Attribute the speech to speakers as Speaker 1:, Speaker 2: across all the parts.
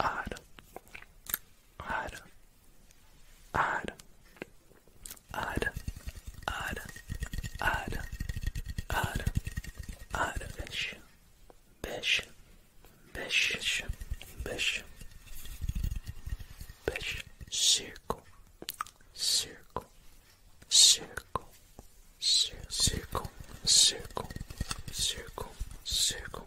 Speaker 1: add, add, add, add, add, add, add, add, bish, bish, bish, bish, bish, bish, circle, circle, circle, circle, circle, circle, circle, circle.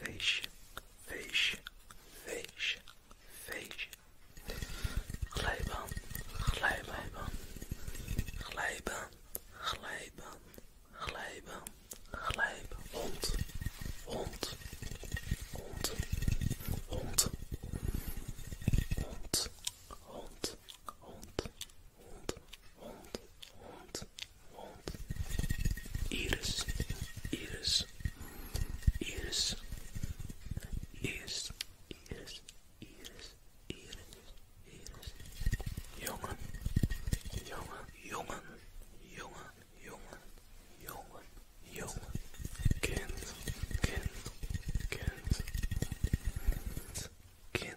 Speaker 1: Fish, fish, fish, fish. Glijbaan, glijbaan, glijbaan, glijbaan, glijbaan, glijbaan. Hond, hond, hond, hond, hond,
Speaker 2: hond, hond, hond, hond, hond. Iris, iris, iris, iris, iris, iris, iris, iris. Jongen, jongen, jongen, jongen, jongen, jongen, jongen. Kind, kind, kind, kind. Kind,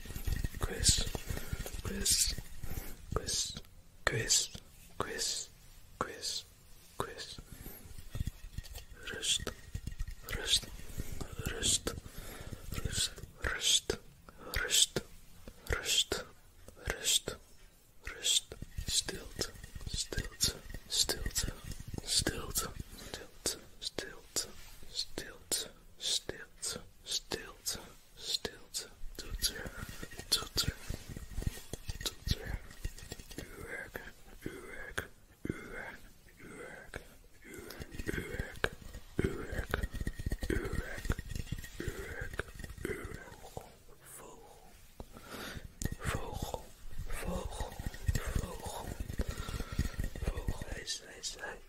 Speaker 2: Chris, Chris, Chris, Chris, Chris, Chris, Chris. Rust, rust, rust, rust, rust, rust, rust, rust, rust. Stilt, stilt, stilt, stilt, stilt, stilt, stilt, stilt, stilt. Stilte, toeter, toeter, toeter. Uw werk, uw werk, uw werk, uw werk, uw werk, uw werk, uw werk, werk, werk. Vogel, vogel, vogel, vogel. Vogel,